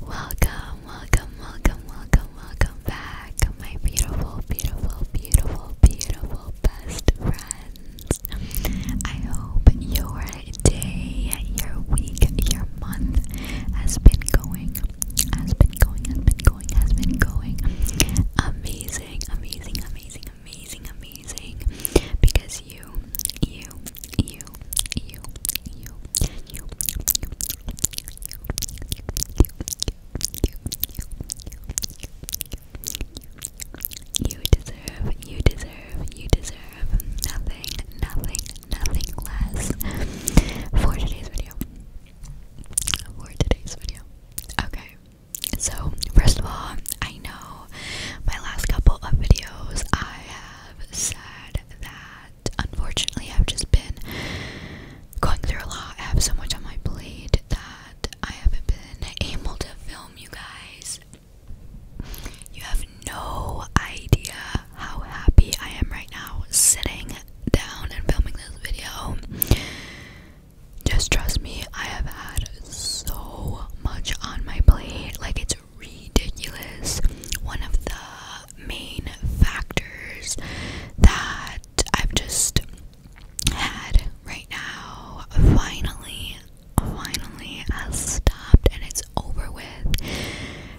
Welcome, welcome, welcome, welcome, welcome back, my beautiful, beautiful, beautiful, beautiful best friends. I hope your day, your week, your month has been going, has been going, has been going, has been going amazing, amazing, amazing, amazing, amazing because you, you you, you, you, you, you, you, you deserve, you deserve, you deserve nothing, nothing, nothing less for today's video. For today's video. Okay. So, first of all, I know my last couple of videos I have have said that unfortunately I've just been going through a lot. I have so much on my plate that I haven't been able to film you guys. You have no idea how happy I am right now sitting down and filming this video. Just trust me, I have had so much on my plate. Like, it's ridiculous. One of the main factors that I've just had right now finally, finally has stopped and it's over with.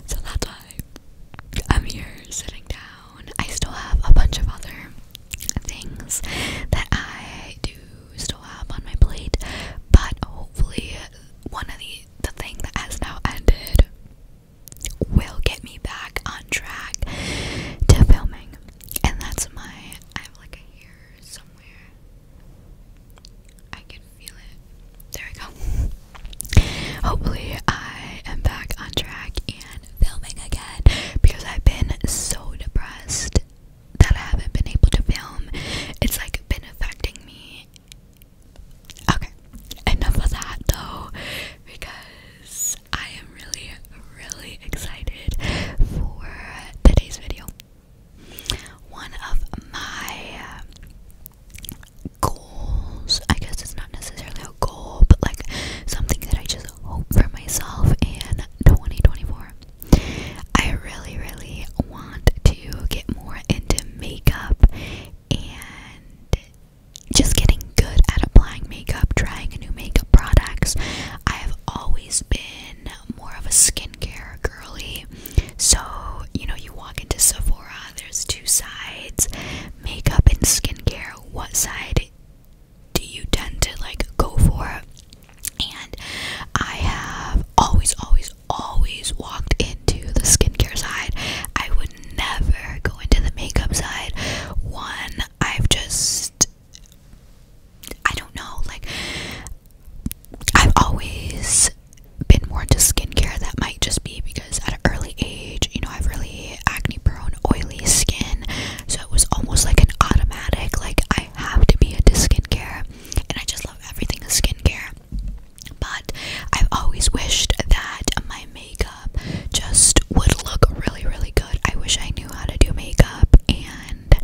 So that's why I'm here sitting down. I still have a bunch of other things that I do still have on my plate, but hopefully, one of these the thing that has now ended will get me back on track to filming. And that's my I have like a hair somewhere. I can feel it. There we go. Hopefully I am back on track and filming again because I've been so depressed that I haven't been able to film. It's like been affecting me Okay, enough of that though, because I am really, really excited for today's video. One of my goals, I guess it's not necessarily a goal, but like something that I just hope for myself in 2024 I really, really want to get more into makeup and just getting good at applying makeup, trying new makeup products. I have always been more of a skincare girly. So, you know, you walk into Sephora, there's two sides makeup and skincare. What side do you tend to like go for? And I have always, always always, always walked into the skincare side. I would never go into the makeup side. One, I've just, I don't know, like, I've always been more into skincare. That might just be because at an early age, you know, I've really acne prone, oily skin. So it was almost like an automatic, like, I have to be into skincare. And I just love everything skincare. But I've always wished that my makeup just would look really, really good. I wish I knew how to do makeup, and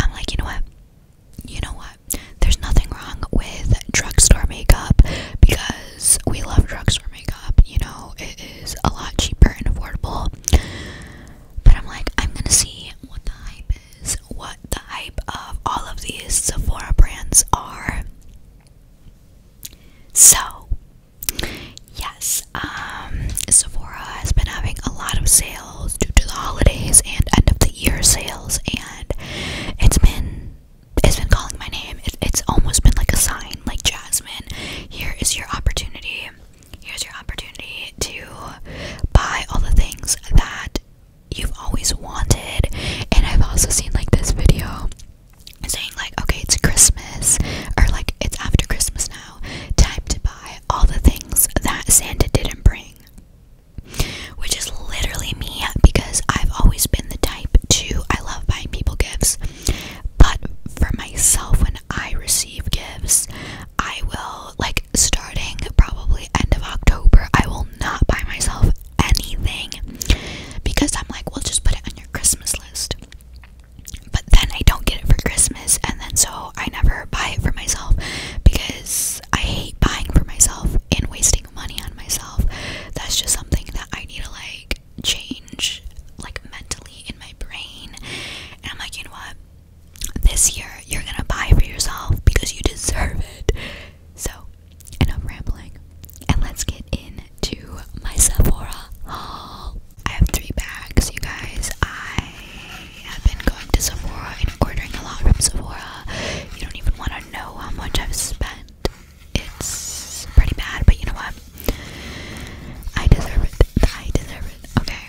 I'm like, you know what? You know what? There's nothing wrong with drugstore makeup because we love drugstore makeup. You know, it is a lot cheaper and affordable. But I'm like, I'm gonna see what the hype is is what the hype of all of these Sephora brands are. So, yes, um, Sephora has been having a lot of sales due to the holidays and end of the year sales, and it's been it's been calling my name. It, it's almost been like a sign, like Jasmine. Here is your opportunity. Here's your opportunity to buy all the things that you've always wanted. And I've also seen like this video saying like, okay, it's Christmas or like it's after Christmas now, time to buy all the things that Santa didn't bring. Which is literally me because I've always been the type to I love buying people gifts. But for myself when I receive gifts, I will like starting probably end of October, I will not buy myself anything because I'm like, well, just put it on your Christmas list. But then I don't get it for Christmas, and then so I never buy it for myself because I hate buying for myself and wasting money on myself. That's just something that I need to like change, like mentally in my brain. And I'm like, you know what? this year you're gonna buy for yourself because you deserve it. So, enough rambling, and let's get into my Sephora haul. I have three bags, you guys. I have been going to Sephora and ordering a lot from Sephora. You don't even want to know how much I've spent. It's pretty bad, but you know what? I deserve it. I deserve it. Okay.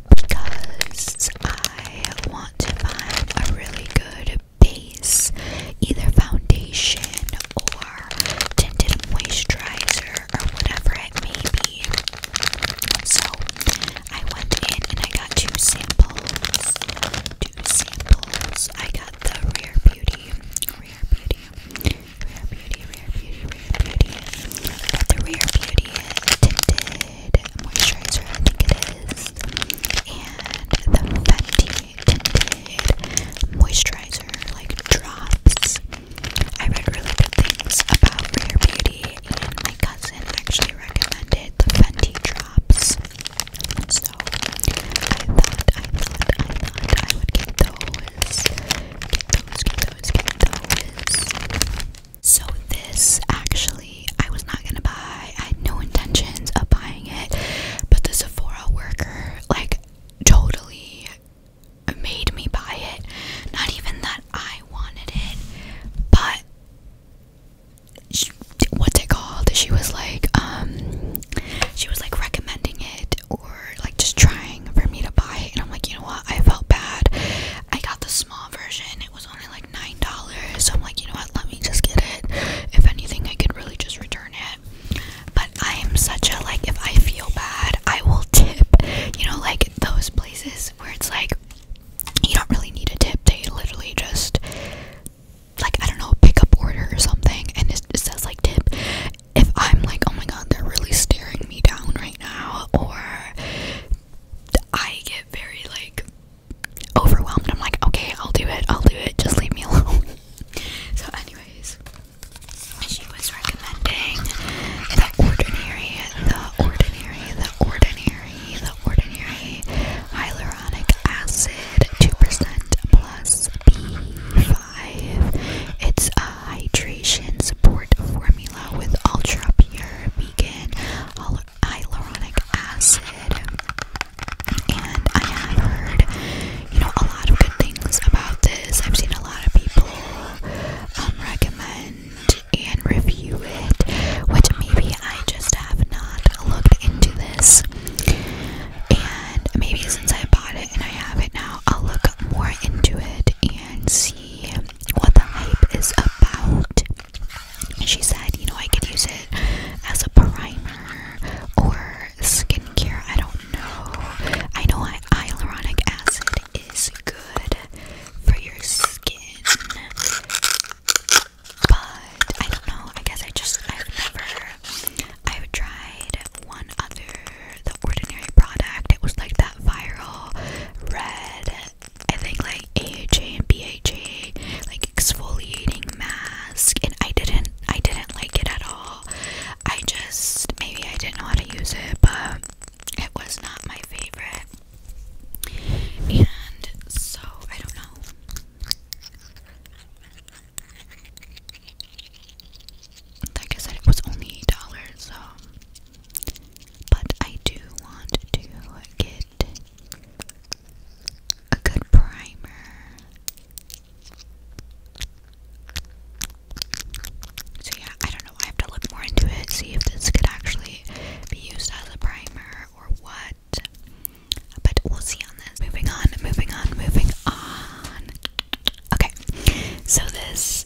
because I want to find a really good base, either foundation or tinted moisturizer or whatever it may be. So I went in and I got two samples. Two samples. I got the Rare Beauty, Rare Beauty, Rare Beauty, Rare Beauty, Tinted Moisturizer, I think it is. And the Fenty Tinted Moisturizer, like drops. I read really good things about Rare Beauty, and my cousin actually recommended the Fenty drops. So I thought, I thought, I thought I would get those. So this actually I was not gonna buy. I had no intentions of buying it, but the Sephora worker like totally made me buy it. Not even that I wanted it, but what's it called? She was like, um, she was like recommending it or like just trying for me to buy, and I'm like, you know what? I felt bad. I got the small version. It was only like nine dollars. So I'm like, you know what? Let me just get it. If anything, I could really just return it. But I am such a like. If I feel bad, I will tip. You know, like those places where it's like you don't really need a tip. They literally just like I don't know, pick up order or something, and it says like tip. If I'm like, oh my god, they're really staring me down right now or I get very like overwhelmed. I'm like, okay, I'll do it, I'll do it, just leave me alone. so anyways, she was recommending the ordinary, the ordinary, the ordinary, the ordinary hyaluronic acid, 2% plus B5. It's a hydration support formula with ultra pure vegan hyaluronic acid. And I have heard, you know, a lot of good things about this. I've seen a lot of people um, recommend and review it, which maybe I just have not looked into this. And maybe since I bought it and I have it now, I'll look more into it and see what the hype is about. She said, you know, I could use it as a primer or skincare. I don't know. I know hyaluronic acid is good for your skin, but I don't know. I guess I just I've never I've tried one other the ordinary product. It was like that viral red, I think like AHA and BHA, like exfoliating mask, and I didn't I didn't like it at all. I just maybe I didn't know how to use it, but it was not my favorite. And so I don't know. Like I said, it was only eight dollars, so but I do want to get a good primer. So, yeah, I don't know. I have to look more into it, see if this could actually be used as a primer or what. But we'll see on this. Moving on, moving on, moving on. Okay, so this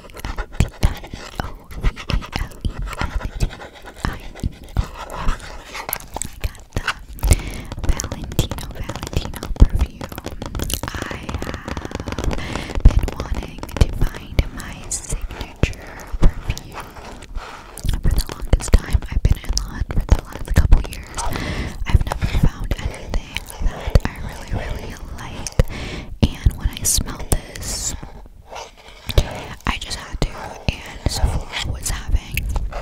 the Valentino Valentino perfume. I have been wanting to find my signature perfume. For the longest time, I've been in London for the last couple years. I've never found anything that I really, really like. And when I smelled this, I just had to. And Sephora was having their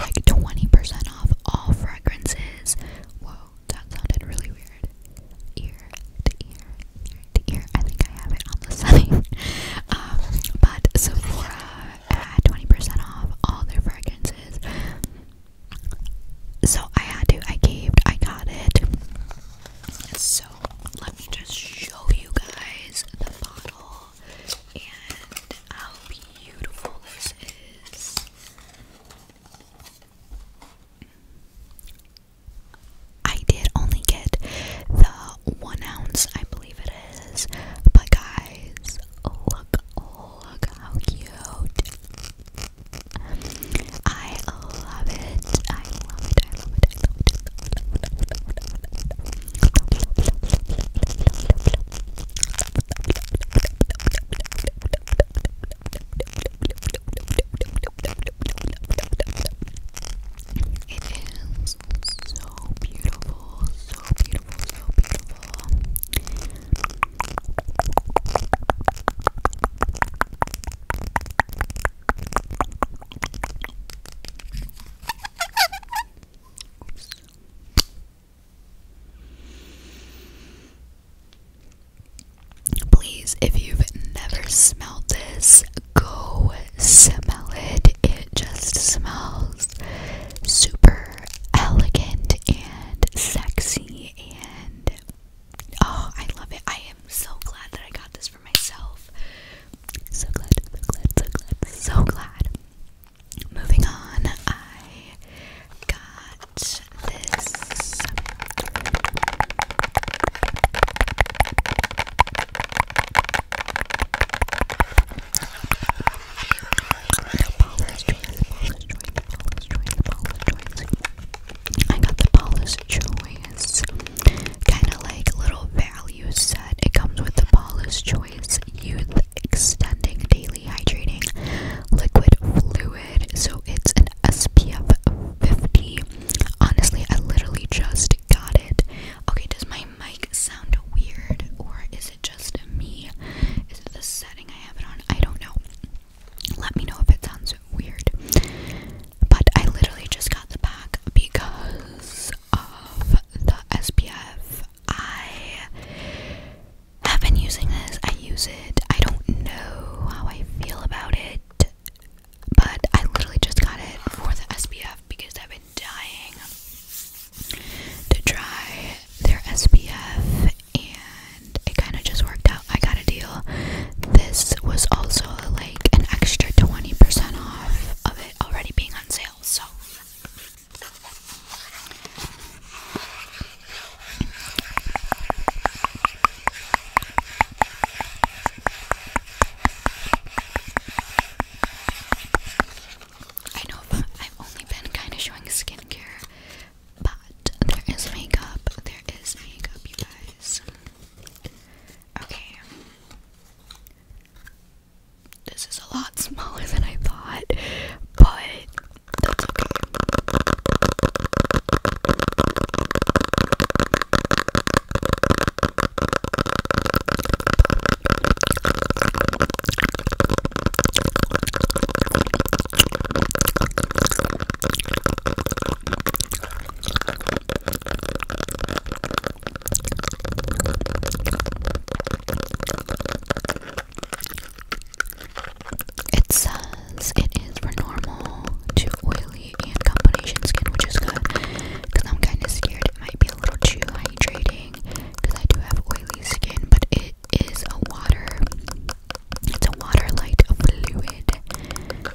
like 20% off all fragrances. Whoa, that sounded really weird. Ear to ear, ear to ear. I think I have it on the setting. um, but Sephora had 20% off all their fragrances. So I had to, I caved, I got it. So let me just show you guys the bottle and how beautiful this is. I did only get the one ounce, I believe it is. But guys, look, look how cute. I love it. I love it. I love it. I love it. It is so beautiful, so beautiful, so beautiful. Please, if you've never smelled this, go smell it. It just smells super elegant and sexy and Oh, I love it. I am so glad that I got this for myself. So glad, so glad, so glad, so glad. Moving on, I got this. I got the Paula's Choice kind of like little value set. It comes with the Paula's Choice Youth Extending Daily Hydrating Liquid Fluid. So it's an SPF 50. Honestly, I literally just got it. Okay, does my mic sound weird or is it just me? Is it the setting I have it on? I don't know. Let me know if it sounds weird. But I literally just got the pack because of the SPF. I have been using this. I use it. I don't know how I feel about it. But I literally just got it for the SPF because I've been dying to try their SPF and it kind of just worked out. I got a deal. This was also like an extra 20% off of it already being on sale, so I know I've only been kind of showing skincare but there is makeup. There is makeup, you guys. Okay. This is a lot smaller than I thought, but that's okay. It says it is for normal to oily and combination skin, which is good because I'm kind of scared it might be a little too hydrating because I do have oily skin, but it is a water it's a water light fluid.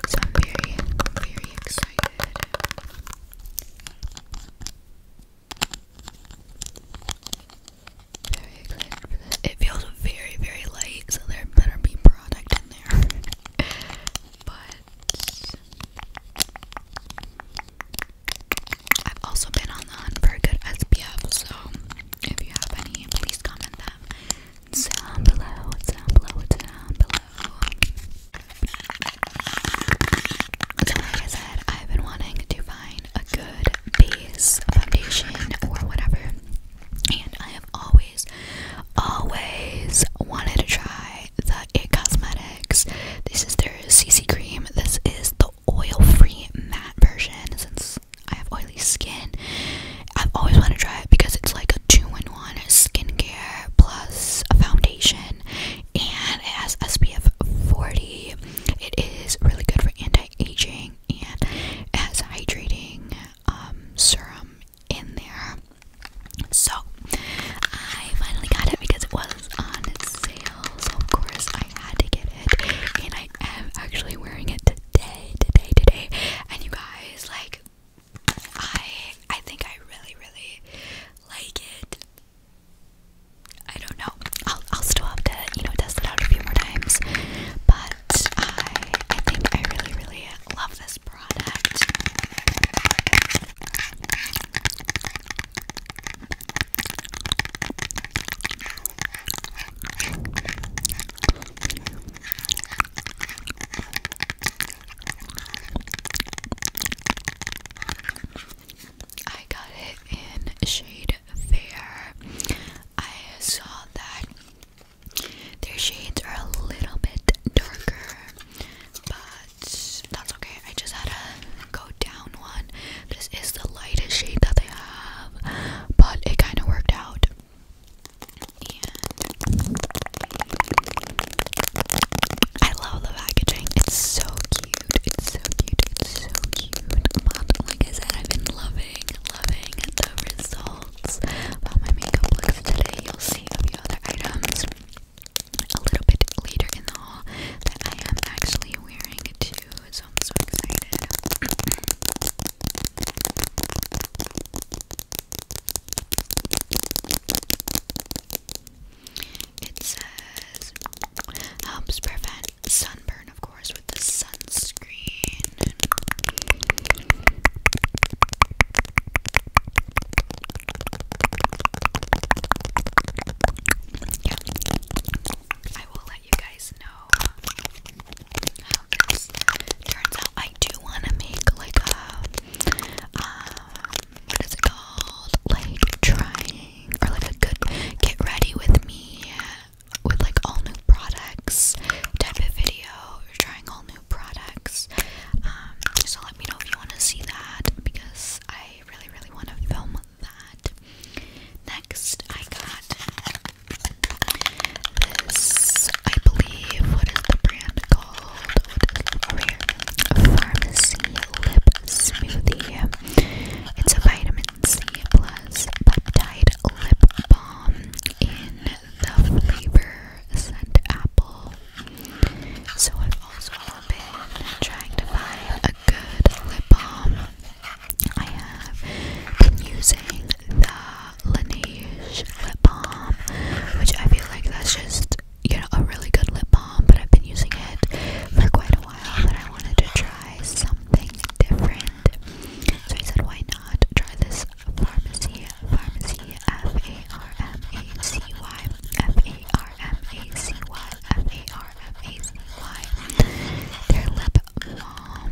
So I'm very, very excited. Very excited for this. It feels very, very light, so there better be product in there. but I've also been on the hunt good SPF, so if you have any, please comment that down below, down below, down below. So like I said, I've been wanting to find a good base, foundation, or whatever. And I have always, always wanted to try the It Cosmetics. This is their CC cream. This is the oil-free matte version since I have oily skin. I've always wanted to try it because it's like a two-in-one skincare plus a foundation, and it has SPF 40. It is really good for anti-aging and it has hydrating um, serum in there. So I finally got it because it was on sale. So of course I had to get it, and I am actually wearing it. Today today, today, today. And you guys, like, I I think I really, really like it. I don't know. I'll I'll still have to, you know, test it out a few more times. But I I think I really, really love this product. I got it in shade fair. I saw that their shades are a little bit darker, but that's okay. I just had to go down one. This is the lightest shade that they have but it kind of worked out. I love the packaging. It's so cute. It's so cute. It's so cute. like I said, I've been loving, loving the results of my makeup looks today. You'll see a few other items a little bit later in the haul that I am actually wearing too. So I'm so excited. It says helps prevent sunburn, of course, with the sunscreen. Yeah. I will let you guys know turns out. I do want to make like a, um, what is it called? Like trying, or like a good get ready with me with like all new products type of video, trying all new products. Um, so let me know if you want to see that because I really, really want to film that. Next, I got this, I believe, what is the brand called? What is it over here? Pharmacy Lip Smoothie. It's a vitamin C plus peptide lip balm in the flavor scent apple. So I've also been trying to find a good lip balm. I have been using the Laneige lip balm, which I feel like that's just, you know, a really good lip balm, but I've been using it for quite a while, but I wanted to try something different. So I said, why not try this Pharmacy, Pharmacy, F-A-R-M-A-C-Y, F-A-R-M-A-C-Y, F-A-R-M-A-C-Y, their lip balm.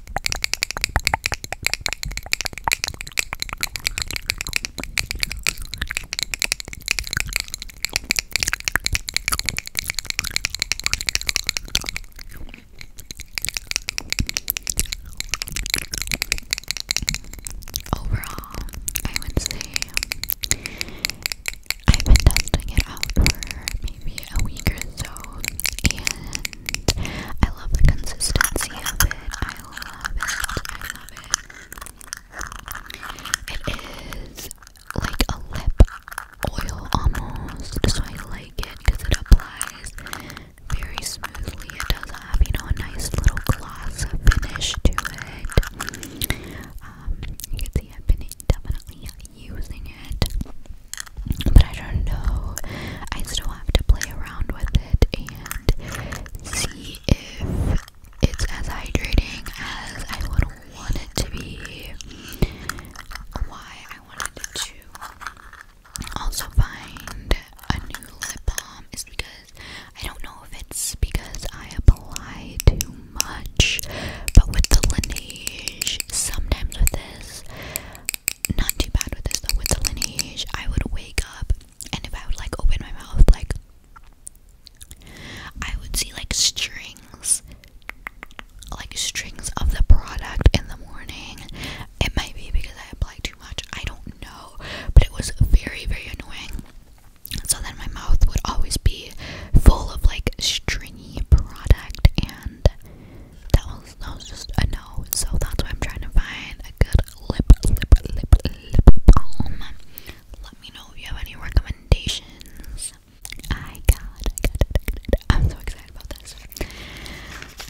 Overall, I would say I've been testing it out for maybe a week or so, and I love the consistency of it. I love it. I love it. It is like a lip oil almost, so I like it because it applies very smoothly. It does have, you know, a nice little gloss finish to it. Um, you can see I've been definitely using it but I don't know. I still have to play around with it and see if it's as hydrating as I would want it to be. Why I wanted to also find a new lip balm is because I don't know if it's because I apply too much, but with the Laneige, sometimes with this, not too bad with this though. With the lineage, I would wake up and if I would like open my mouth, like I would see like strings, like strings of the product in the morning. It might be because I applied too much. I don't know, but it was very very annoying. So then my mouth would always be full of like stringy product and that was that was just a no. So that's why I'm trying to find a good lip lip lip lip balm. Let me know if you have any recommendations. I got, I got, it, I got it. I'm so excited about this.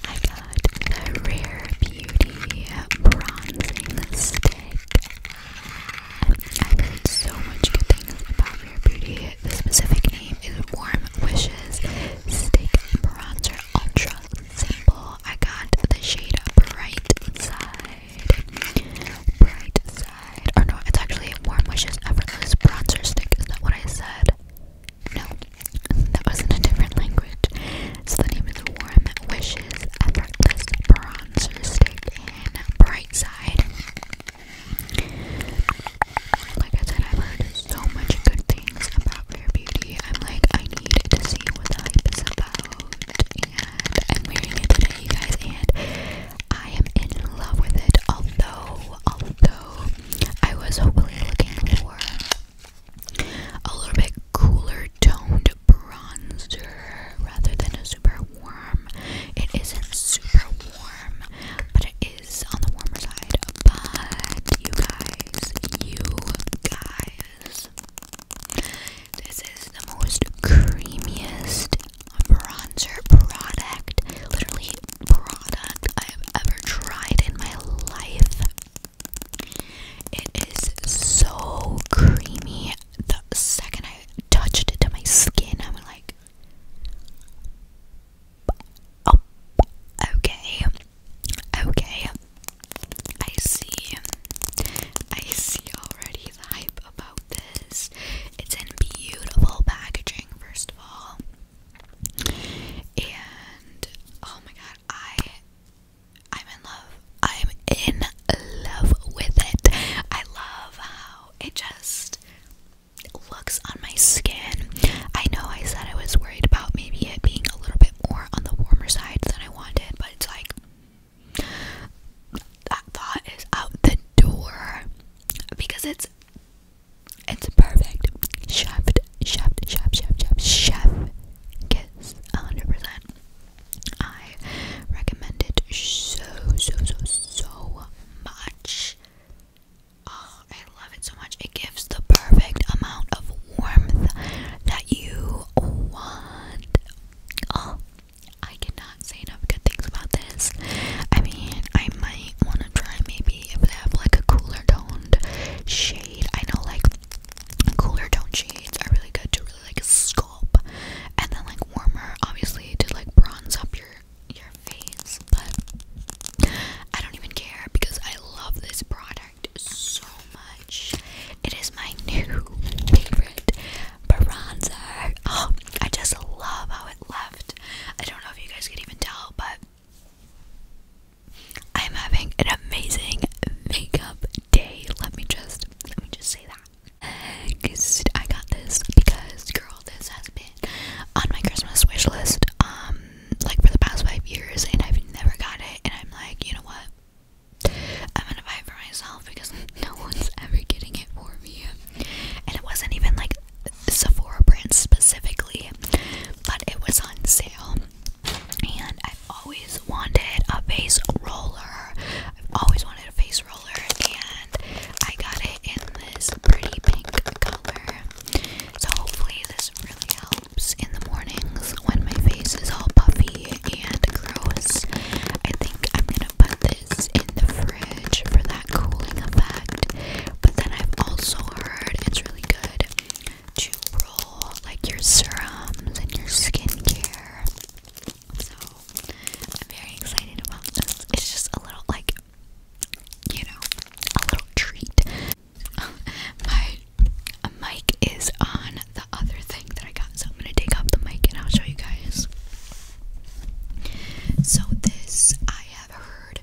I got the Rare Beauty Bronzing Stick. I've heard so much good things about Rare Beauty. The specific name is Warm Wishes Stick Bronzer Ultra Simple. I got the shade Bright Side. Bright Side. Or oh, no, it's actually Warm Wishes Effortless Bronzer Stick. Is that what I said? No, that was in a different language. the name is Warm Wishes Effortless Bronzer Stick in Bright Side. Like I said, I've heard so much good things about Rare Beauty. I'm like, I need to see what the hype is about. And I'm wearing it today, you guys, and I am in love with it. Although, although I was hoping looking for a little bit cooler toned bronzer rather than a super warm. It isn't super warm, but it is on the warmer side, but you guys, you guys, this is the most creamiest bronzer product, literally product I have ever tried in my life. It is so creamy. The second I touched it to my skin, I'm like, okay. Okay. I see. I see already the hype about this. It's in beautiful packaging, first of all. And oh my god, I I'm in love. I'm in love with it. I love how it just looks on my skin. I know I said I was worried about maybe it being a little bit more on the warmer side than I wanted, but it's like that thought is out the door because it's it's perfect. Chef, chef, chef, chef, chef, chef kiss 100%. I recommend it so, so, so, so much. Oh, I love it so much. It gives the perfect amount of warmth that you want. Oh, I cannot say enough good things about this. I mean, I might want to try maybe if they have like a cooler toned shade. I know like cooler toned shades are really good to really like sculpt, and then like warmer, obviously, to like bronze up your your face but I don't even care because I love this product so much. It is my new favorite bronzer. Oh, I just love how it left. I don't know if you guys could even tell, but I'm having an amazing makeup day. Let me just let me just say that. I got this because girl, this has been on my Christmas wish list. Um, like for the past five years and I've never got it and I'm like, you know what? I'm gonna buy for myself because no one's ever getting it for me. And it wasn't even like Sephora brand specifically, but it was on sale. And I've always wanted a face roller. I've always wanted a face roller, and I got it in this pretty pink color. So hopefully this really helps in the mornings when my face is all puffy and gross. I think I'm gonna put this in the fridge for that cooling effect. But then I've also heard it's really good to roll like your serums and your skincare. So I'm very excited about this. It's just a little like you know, a little treat. My mic is on the other thing that I got, so I'm gonna take off the mic and I'll show you guys. So this, I have heard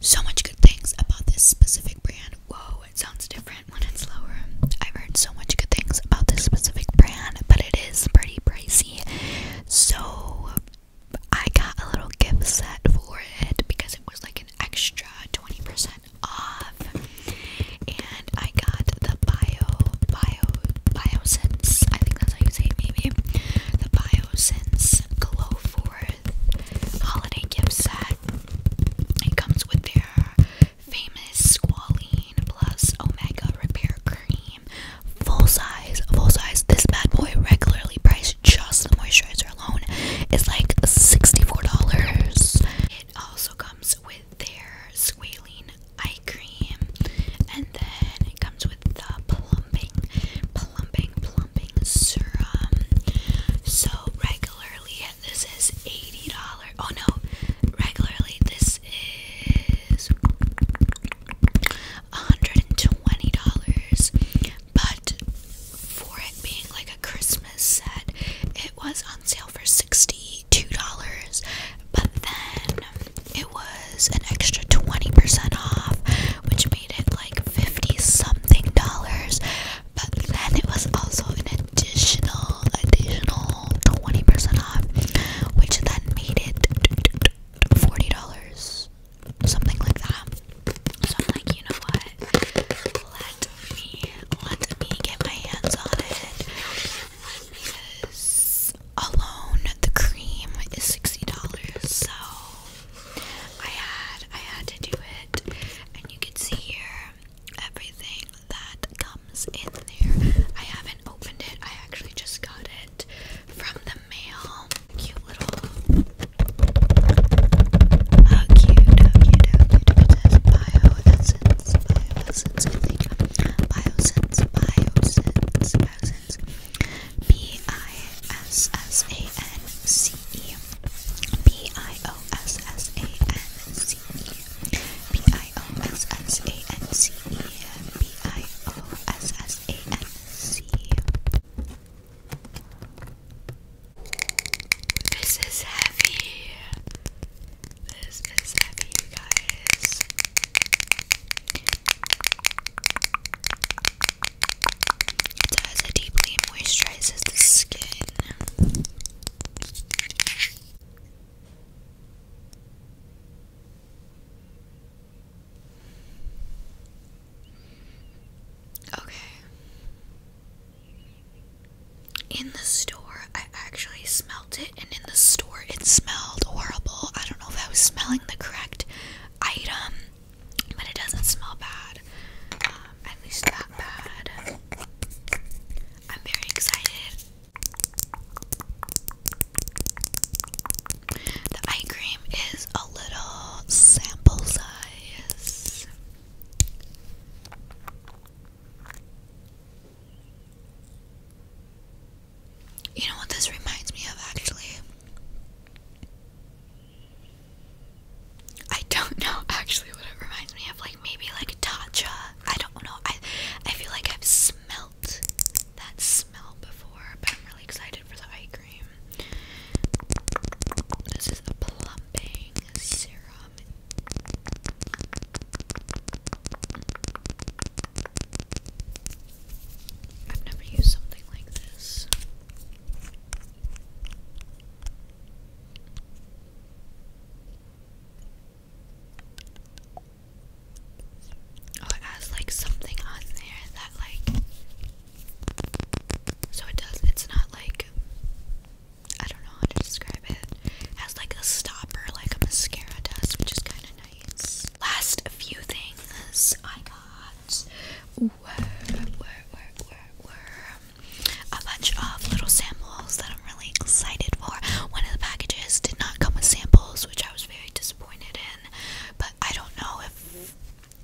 so much good things about this specific brand. Whoa, it sounds different when it's lower. I've heard so much good things about this specific brand, but it is pretty pricey. So I got a little gift set for it because it was like an extra 20% off. And I got the bio, bio, biosense, I think that's how you say it maybe. The biosense for holiday gift set. It comes with their famous squalene plus omega repair cream. Full size, full size. This bad boy regularly priced just the moisturizer alone is like $64. It also comes with their squalene eye cream, and then it comes with the plumping, plumping, plumping serum. So regularly, this is $80. Oh no, regularly, this is $120. But for it being like a Christmas set, it was on sale for $62, but then it was an extra 20% off, which made it like 50 something dollars. But then it was also an additional, additional 20% off, which then made it $40 something like that. So I'm like, you know what? Let me let me get my hands on it because alone the cream is sixty dollars. So I had I had to do it, and you can see here everything that comes in there. I haven't opened it. I actually just got it from the mail. Cute little. Oh, cute, cute, cute. It says bioessence, bioessence, I think. Biosense, biosense, B I S S A N C E. B I O S S A N C E. B I O S S A N C E. B I O S S A N C E. This is heavy. This is heavy, guys. It deeply moisturizes the skin. Okay. In the store, I actually smelled it, and in the store, it smelled horrible. I don't know if I was smelling the correct item, but it doesn't smell bad. Um, at least that bad. I'm very excited. The eye cream is a little sample size. You know what this reminds me of actually? I don't know actually what it reminds me of. Like maybe like Tatcha. I don't know. I I feel like I've smelt that smell before, but I'm really excited for the eye this is a plumping serum. I've never used something like this. Oh, it has like something on there that like so it does, it's not like, I don't know how to describe it. It has like a stopper, like a mascara does, which is kind of nice. Last few things I got were, were, were, were, were a bunch of little samples that I'm really excited for. One of the packages did not come with samples, which I was very disappointed in, but I don't know if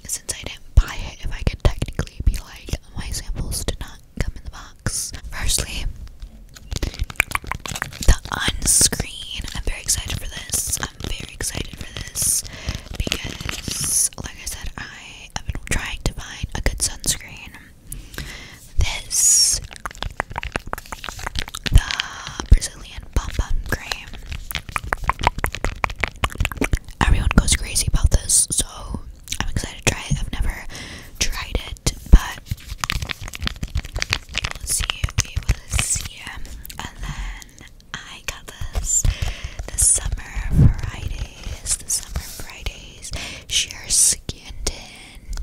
since I didn't buy it, if I could technically be like, my samples did not come in the box. Firstly, the unscreen. I'm very excited for this. I'm very excited for this because, like I said, I have been trying to find a good sunscreen. This, the Brazilian Pom Cream everyone goes crazy about this, so I'm excited to try it. I've never tried it, but we'll see. We will see. And then I got this the summer Fridays, the summer Fridays sheer skin tint.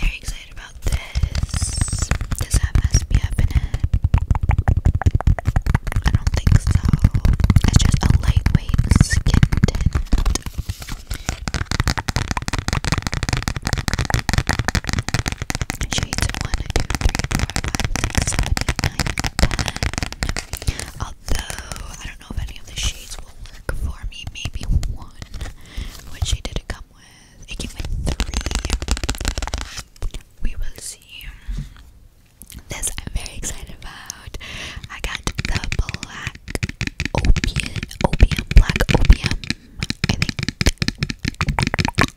Very excited about This have SPF in it? I don't think so. It's just a lightweight skin tint. Shades 1, Although, I don't know if any of the shades will work for me. Maybe one. What shade did it come with? It came with three. We will see. This I'm very excited about. I got the black opium, opium, black opium.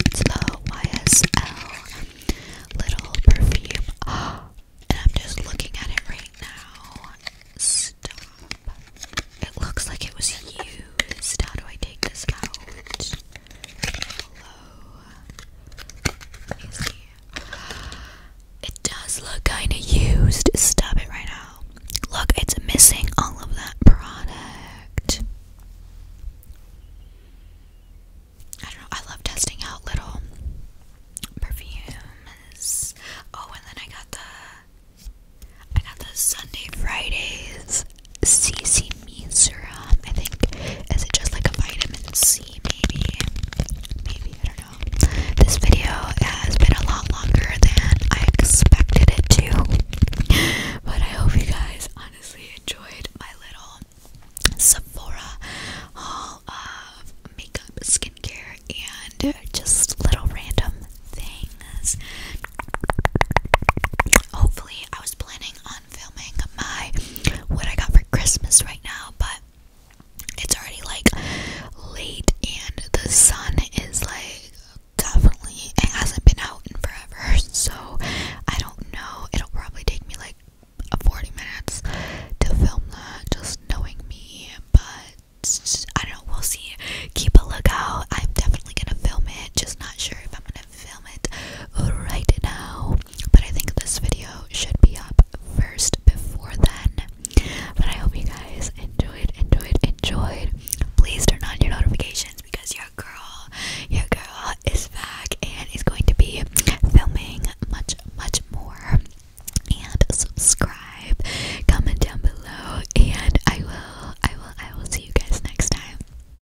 it's the YSL little perfume. and I'm just looking at it right now. Stop. It looks like it was used. How do I take this out? It does look kinda used. Stop it right now. Look, it's missing all of that product. I don't know, I love testing out little perfumes. Oh, and then I got the I got the Sunday Fridays CC serum. I think is it just like a vitamin C? Maybe, maybe I don't know. This video has been a lot longer than I expected it to, but I hope you guys honestly enjoyed my little Sephora haul of makeup, skincare, and just little random things. Hopefully, I was planning on on filming my what I got for Christmas right now, but it's already like late and the sun is like definitely it hasn't been out in forever, so I don't know. It'll probably take me like 40 minutes to film that, just knowing me, but I don't know, we'll see. Keep a lookout. I'm definitely gonna film it, just not sure if I'm gonna film it right now. But I think this video should be up first before then. But I hope you guys enjoyed, enjoyed, enjoyed. Please turn on your notifications because your girl, your girl is back and is going to be filming much, much more. And subscribe, comment down below, and I will, I will, I will see you guys next time.